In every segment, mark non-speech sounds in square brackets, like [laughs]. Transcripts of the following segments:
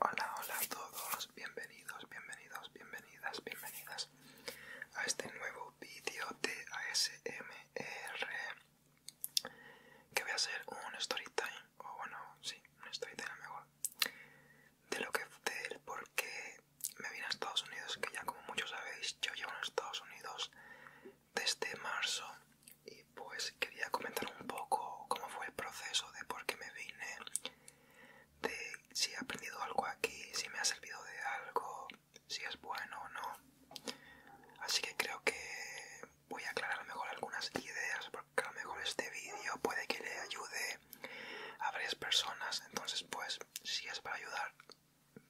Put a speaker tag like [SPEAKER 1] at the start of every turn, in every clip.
[SPEAKER 1] Hola, hola a todos, bienvenidos, bienvenidos, bienvenidas, bienvenidas a este nuevo vídeo de ASMR que voy a hacer un story time, o bueno, sí, un story time mejor, de lo que del por qué me vine a Estados Unidos, que ya como muchos sabéis, yo llevo en Estados Unidos desde marzo y pues quería comentar un poco cómo fue el proceso de por qué me vine, de si he aprendido algo aquí, si me ha servido de algo, si es bueno o no. Así que creo que voy a aclarar a lo mejor algunas ideas porque a lo mejor este vídeo puede que le ayude a varias personas. Entonces pues si es para ayudar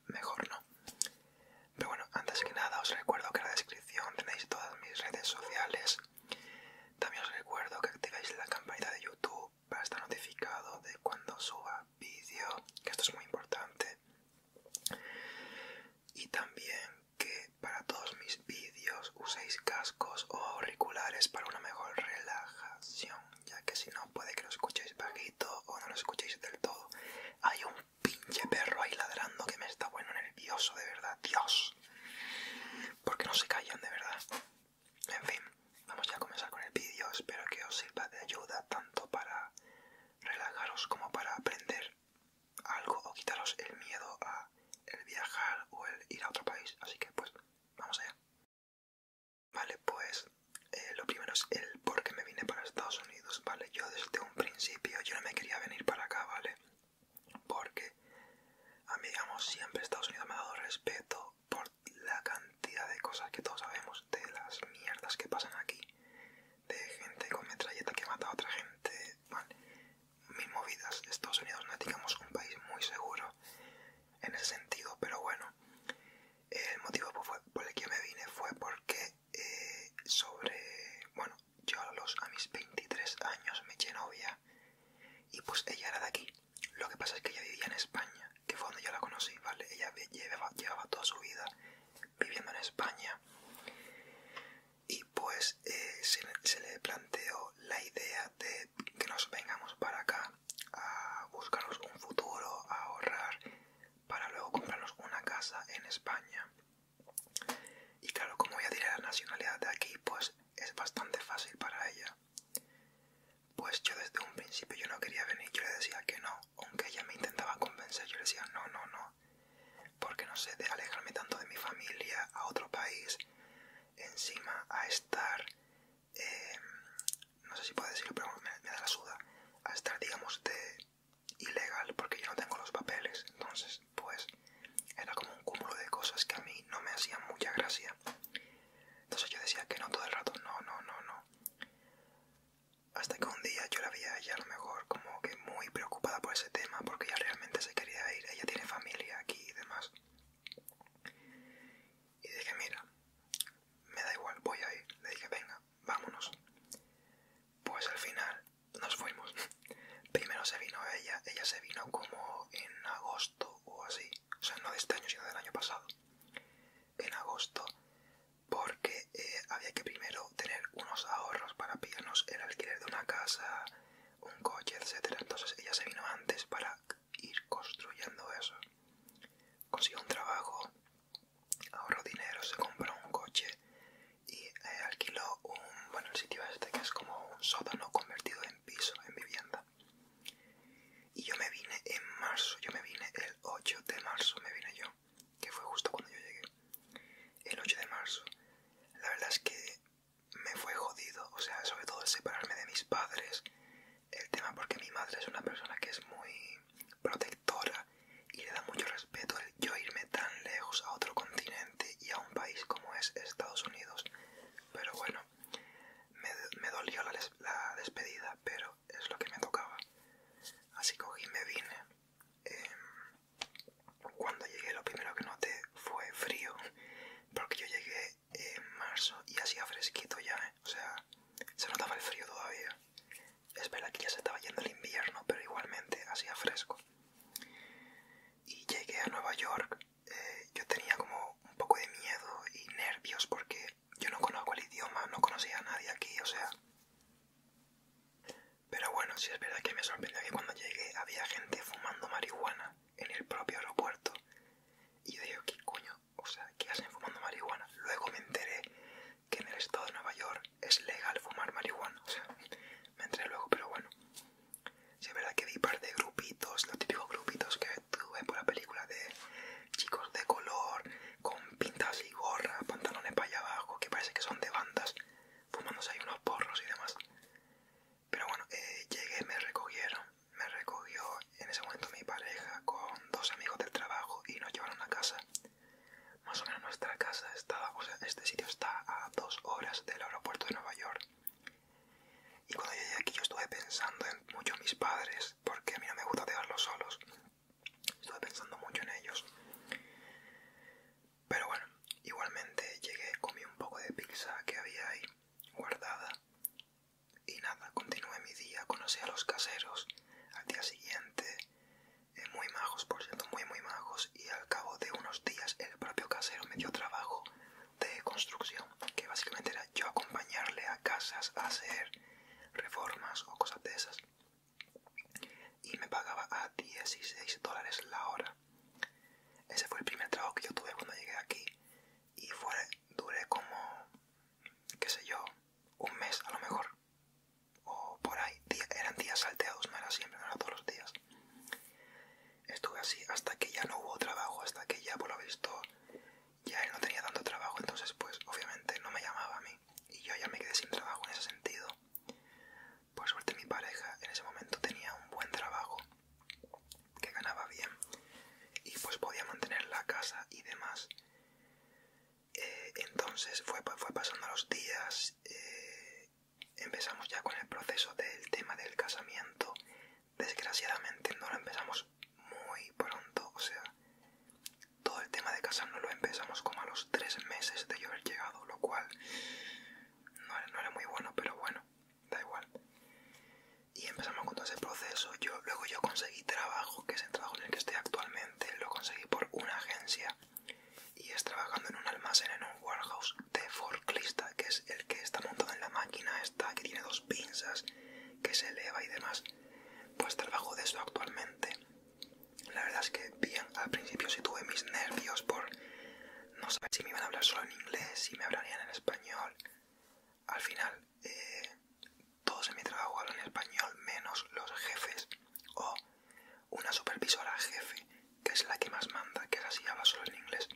[SPEAKER 1] mejor no. Pero bueno, antes que nada os recuerdo que en la descripción tenéis todas mis redes sociales. También os recuerdo que activéis la campanita de YouTube para estar notificado de cuando suba vídeo, que esto es muy importante. Y también que para todos mis vídeos uséis cascos o auriculares para una mejor relajación ya que si no puede que lo escuchéis bajito o no lo escuchéis del todo. Hay un pinche perro ahí ladrando que me está bueno nervioso, de verdad, Dios. Porque no se callan, de verdad. En fin, vamos ya a comenzar con el vídeo. Espero que os sirva de ayuda tanto para relajaros como para aprender algo o quitaros el miedo a el viajar o el ir a otro país. Así que pues, vamos allá. Vale, pues eh, lo primero es el por qué me vine para Estados Unidos, ¿vale? Yo desde un principio yo no me quería venir para acá, ¿vale? Porque a mí, digamos, siempre Estados Unidos me ha dado respeto por la cantidad de cosas que todos sabemos, de las mierdas que pasan aquí, de gente con metralleta que mata a otra gente, ¿vale? Mis movidas. Estados Unidos no es, digamos, un país muy seguro en ese sentido, pero bueno. El motivo por el que me vine fue porque eh, sobre... Bueno, yo a, los, a mis 23 años me eché novia y pues ella era de aquí. Lo que pasa es que ella vivía en España, que fue donde yo la conocí, ¿vale? Ella llevaba, toda su vida viviendo en España y pues eh, se, se le planteó la idea de que nos vengamos para acá a, buscarnos un futuro, a ahorrar para luego comprarnos una casa en España. Y claro, como ya diré la nacionalidad de aquí, pues es bastante fácil para ella. Pues yo desde un principio yo no quería venir, yo le decía que no, aunque ella me intentaba convencer, yo le decía no, no, no, porque no sé, de alejarme tanto de mi familia a otro país, encima a estar eh, no sé si puedo decirlo, pero me, da la suda, a estar, digamos, de ilegal porque yo no tengo los papeles. Entonces, pues, era como un cúmulo de cosas que a mí no me hacían mucha gracia. Entonces yo decía que no todo el rato, no, no, no, no. Hasta que un día yo la vi a ella a lo mejor como que muy preocupada por ese tema porque ella realmente se quería ir, ella tiene familia aquí y demás. Y dije, mira, me da igual, voy a ir. Le dije, venga, vámonos. Pues al final nos fuimos. [laughs] Primero se vino ella, ella se vino como en agosto o así. O sea, no de este año, sino del año pasado. En agosto, porque eh, había que primero tener unos ahorros para pillarnos el alquiler de una casa, un coche, etcétera. Entonces ella se vino antes para ir construyendo eso. Consigue un trabajo, ahorró dinero, se compró un coche y eh, alquiló un, bueno, sitio este que es como un sótano convertido en piso, en vivienda. Y yo me vine en marzo, yo me vine el 8 de marzo, me vine yo, que fue justo cuando yo llegué. El 8 de marzo, la verdad es que me fue jodido, o sea, sobre todo el separarme de mis padres, el tema porque mi madre es una persona que es muy protectora y le da mucho respeto el yo irme tan lejos a otro continente y a un país como es Estados Unidos. Pero bueno, me, dolió la, despedida, pero es lo que me tocaba. Así cogí me vine. Em, cuando llegué lo primero que noté fue frío, [laughs] porque yo llegué en marzo y hacía fresquito ya, ¿eh? o sea, se notaba el frío todavía. Es verdad que ya se estaba yendo el invierno, pero igualmente hacía fresco. Y llegué a Nueva York, eh, yo tenía como un poco de miedo y nervios porque yo no conozco el idioma, no conocía a nadie aquí, o sea... Pero bueno, si es verdad que me sorprendió que cuando llegué había gente fumando marihuana en el propio aeropuerto. Y yo digo, ¿qué coño? O sea, que hacen fumando marihuana? Luego me enteré que en el estado de Nueva York es legal fumar marihuana. O sea, me enteré luego, pero bueno. Sí, es verdad que vi par de grupitos, los típicos grupitos que tuve por la película de chicos de color, con pintas y gorras, pantalones para allá abajo, que parece que son de bandas, fumándose ahí unos porros y demás. Pero bueno, eh, llegué, me recogieron, me recogió en ese momento mi pareja con dos amigos del trabajo y nos llevaron a casa. Más o menos nuestra casa estaba, o sea, este sitio está a dos horas del aeropuerto de Nueva York. Y cuando llegué aquí yo estuve pensando en mucho mis padres, porque a mí no me gusta dejarlos solos. Estuve pensando mucho en ellos. Pero bueno, igualmente llegué, comí un poco de pizza que había ahí guardada. Y nada, continué mi día, conocí a los caseros al día siguiente, eh, muy majos, por cierto, muy, muy majos, y al cabo de unos días el propio casero me dio trabajo de construcción, que básicamente era yo acompañarle a casas a hacer reformas o cosas de esas. Y me pagaba a 16 dólares la hora. Ese fue el primer trabajo que yo tuve cuando llegué aquí y fue, duré como, qué sé yo, un mes a lo mejor. O por ahí, eran días salteados, no era siempre, no todos los días. Estuve así hasta que ya no hubo trabajo, hasta que ya por lo visto ya él no tenía tanto trabajo, entonces pues obviamente no me llamaba a mí y yo ya me quedé sin trabajo en ese sentido. Por suerte mi pareja en ese momento tenía un buen trabajo, que ganaba bien, y pues podía mantener la casa y demás. Eh, entonces fue, fue pasando los días, eh, empezamos ya con el proceso del tema del casamiento. Desgraciadamente no lo empezamos muy pronto, o sea, todo el tema de casarnos lo empezamos como a los tres meses de yo haber llegado, lo cual no era muy bueno, pero bueno, da igual. Y empezamos con todo ese proceso. Yo, luego yo conseguí trabajo, que es el trabajo en el que estoy actualmente, lo conseguí por una agencia y es trabajando en un almacén, en un warehouse de forklista, que es el que está montado en la máquina esta, que tiene dos pinzas, que se eleva y demás. Pues trabajo de eso actualmente. La verdad es que bien, al principio sí tuve mis nervios por no sabía si me iban a hablar solo en inglés, si me hablarían en español. Al final, eh, todos en mi trabajo hablan español, menos los jefes o una supervisora jefe, que es la que más manda, que es así, habla solo en inglés.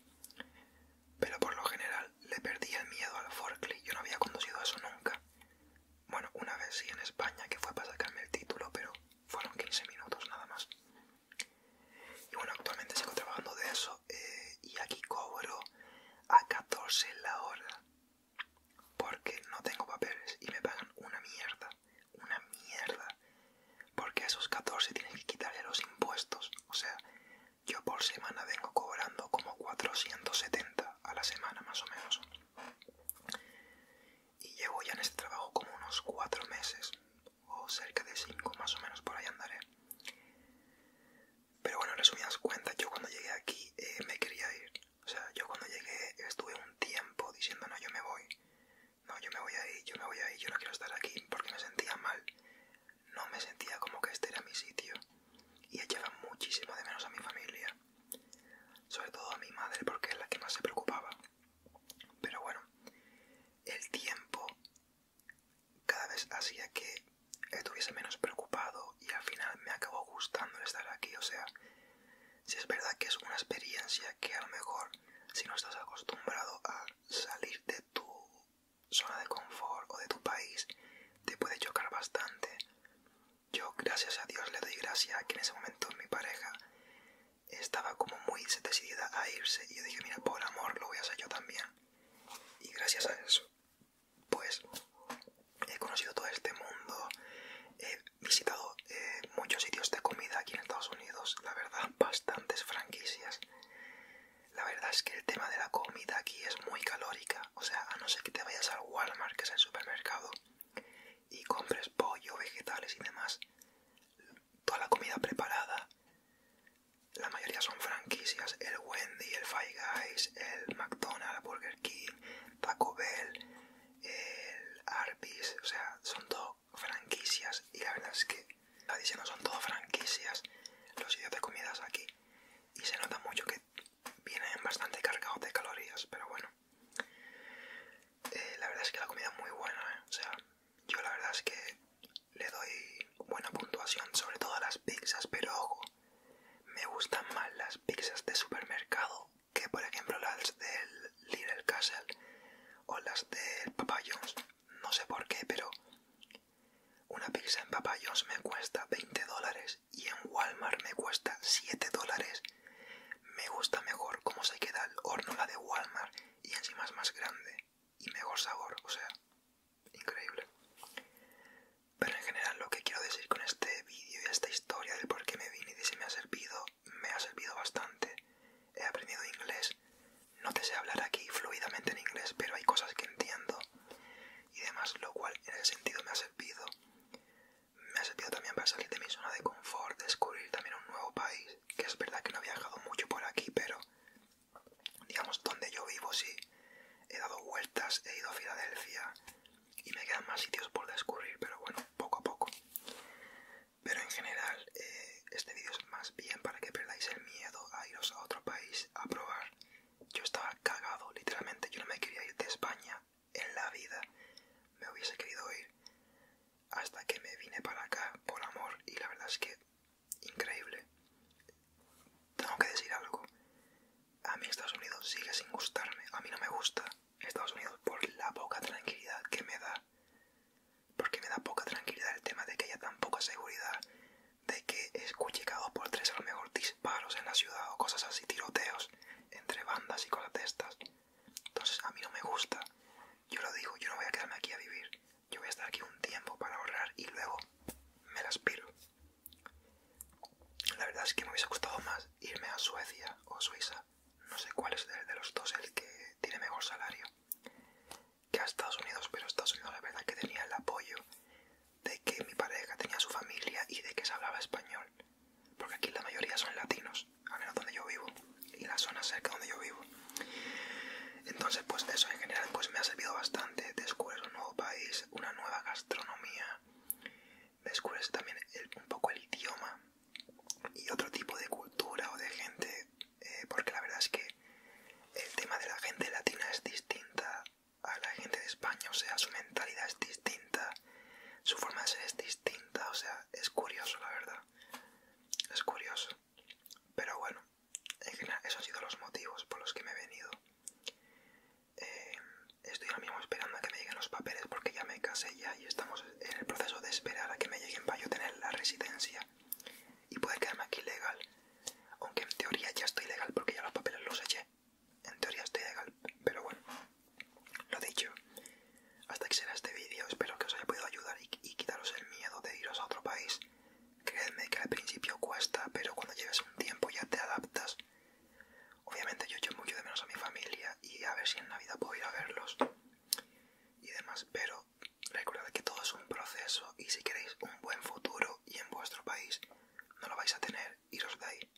[SPEAKER 1] Pero por lo general le perdí el miedo al forklift, yo no había conducido eso nunca. Bueno, una vez sí en España, que fue para sacarme el título, pero fueron 15 minutos nada más. Y bueno, actualmente sigo trabajando de eso eh, y aquí cobro a 14 la hora porque no tengo papeles y me pagan una mierda, una mierda. Porque a esos 14 tienen que quitarle los impuestos. O sea, yo por semana vengo cobrando como 470 a la semana más o menos. Y llevo ya en este trabajo como unos 4 meses o cerca de 5 más o menos por ahí andaré pero bueno en resumidas cuentas yo cuando llegué aquí eh, me quería ir o sea yo cuando llegué estuve un tiempo diciendo no yo me voy no yo me voy a ir yo me voy a ir yo no quiero estar aquí porque me sentía mal no me sentía como que este era mi sitio y echaba muchísimo de menos a mi familia sobre todo a mi madre porque es la que más se preocupaba pero bueno, el tiempo cada vez hacía que estuviese menos preocupado y al final me acabó gustando el estar aquí. O sea, si es verdad que es una experiencia que a lo mejor si no estás acostumbrado a salir de tu zona de confort o de tu país, te puede chocar bastante. Yo, gracias a Dios, le doy gracias a que en ese momento mi pareja estaba como muy decidida a irse y yo dije, mira, por amor lo voy a hacer yo también. Y gracias a eso, pues he conocido todo este mundo, he visitado eh, muchos sitios de comida aquí en Estados Unidos, la verdad, bastantes franquicias. La verdad es que el tema de la comida aquí es muy calórica, o sea, a no ser que te vayas al Walmart, que es el supermercado, y compres pollo, vegetales y demás, toda la comida preparada, la mayoría son franquicias, el Wendy, el Five Guys, el McDonald's, Burger King, Taco Bell, el Arby's, o sea, son todo franquicias y la verdad es que está diciendo son todo franquicias los sitios de comidas aquí y se nota mucho que vienen bastante cargados de calorías, pero bueno, eh, la verdad es que la comida es muy buena, ¿eh? o sea, yo la verdad es que le doy buena puntuación, sobre todo a las pizzas, pero ojo, me gustan más las pizzas de supermercado que por ejemplo las del Little Castle o las del Papa John's, no sé por qué, pero una pizza en Papa John's me cuesta 20 dólares y en Walmart me cuesta 7 dólares me gusta mejor cómo se queda el horno la de Walmart y encima es más grande y mejor sabor, o sea, increíble. Pero en general lo que quiero decir con este vídeo y esta historia del por qué me vine y de si me ha servido, me ha servido bastante. He aprendido inglés, no te sé hablar aquí fluidamente en inglés, pero hay cosas que entiendo y demás, lo cual en ese sentido me ha servido. Me ha servido también para salir de mi zona de confort, descubrir también un nuevo país, que es verdad que no he viajado mucho por aquí, pero digamos donde yo vivo sí, he dado vueltas, he ido a Filadelfia y me quedan más sitios por descubrir, pero bueno, poco a poco. Pero en general, eh, este vídeo es más bien para que perdáis el miedo a iros a otro país a probar. Yo estaba cagado, literalmente, yo no me quería ir de España en la vida me hubiese querido ir hasta que me vine para acá por amor y la verdad es que increíble. Tengo que decir algo. A mí Estados Unidos sigue sin gustarme. A mí no me gusta Estados Unidos por la poca tranquilidad que me da. Porque me da poca tranquilidad el tema de que haya tan poca seguridad. De que escuche cada por tres a lo mejor disparos en la ciudad o cosas así, tiroteos entre bandas y cosas de estas. Entonces a mí no me gusta. Yo lo digo, yo no voy a quedarme aquí a vivir. Yo voy a estar aquí un tiempo para ahorrar y luego me las piro. La verdad es que me hubiese gustado más irme a Suecia o Suiza. No sé cuál es de los dos el que tiene mejor salario que a Estados Unidos, pero Estados Unidos la verdad que tenía el apoyo de que mi pareja tenía su familia y de que se hablaba español porque aquí la mayoría son latinos, al menos donde yo vivo y la zona cerca donde yo vivo. Entonces, pues eso en general pues me ha servido bastante. Descubres un nuevo país, una nueva gastronomía, descubres también un poco el idioma y otro tipo de cultura o de gente, eh, porque la verdad es que el tema de la gente latina es distinta a la gente de España, o sea, su mentalidad es distinta, su forma de ser es distinta, o sea, es curioso, la verdad, es curioso. Pero bueno, en general, esos han sido los motivos por los que me he venido. Eh, estoy ahora mismo esperando a que me lleguen los papeles porque ya me casé ya y estamos en el proceso de esperar a que me lleguen para yo tener la residencia y poder quedarme aquí legal. Aunque en teoría ya estoy legal porque ya los papeles los eché en teoría estoy legal, pero bueno, lo dicho. Hasta que será este vídeo, espero que os haya podido ayudar y, quitaros el miedo de iros a otro país. Creedme que al principio cuesta, pero cuando lleves un tiempo ya te adaptas. Obviamente yo echo mucho de menos a mi familia y a ver si en Navidad puedo ir a verlos y demás, pero recordad que todo es un proceso y si queréis un buen futuro y en vuestro país no lo vais a tener, iros de ahí.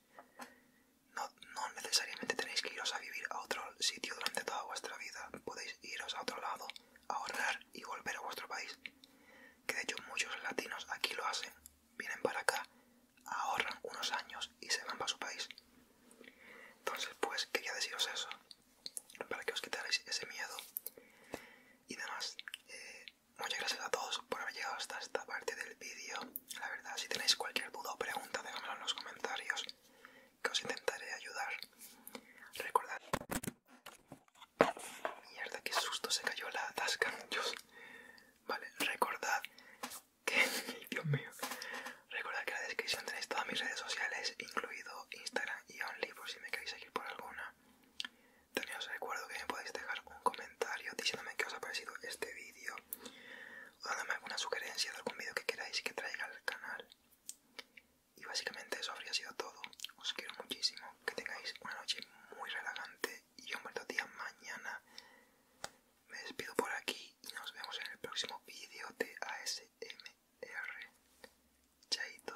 [SPEAKER 1] No, necesariamente tenéis que iros a vivir a otro sitio durante toda vuestra vida. Podéis iros a otro lado, ahorrar y volver a vuestro país. Que de hecho muchos latinos aquí lo hacen. Vienen para acá, ahorran unos años y se van para su país. Entonces pues quería deciros eso. Para que os quitarais ese miedo. Y demás. Eh, muchas gracias a todos por haber llegado hasta esta parte del vídeo. La verdad, si tenéis cualquier duda o pregunta, déjamelo en los comentarios, que os intentaré ayudar. Recordad... Mierda, qué susto, se cayó la tasca. Vale, recordad que... [laughs] Dios mío. Recordad que en la descripción tenéis todas mis redes sociales, incluido Instagram y Only, por si me queréis seguir por alguna. También os recuerdo que me podéis dejar un comentario diciéndome qué os ha parecido este vídeo o dándome alguna sugerencia de algún vídeo que queráis que traiga al canal. Y básicamente eso habría sido todo. Os quiero muchísimo. Que tengáis una noche muy relajante y un buen día mañana. Me despido por aquí y nos vemos en el próximo vídeo de ASMR. Chaito.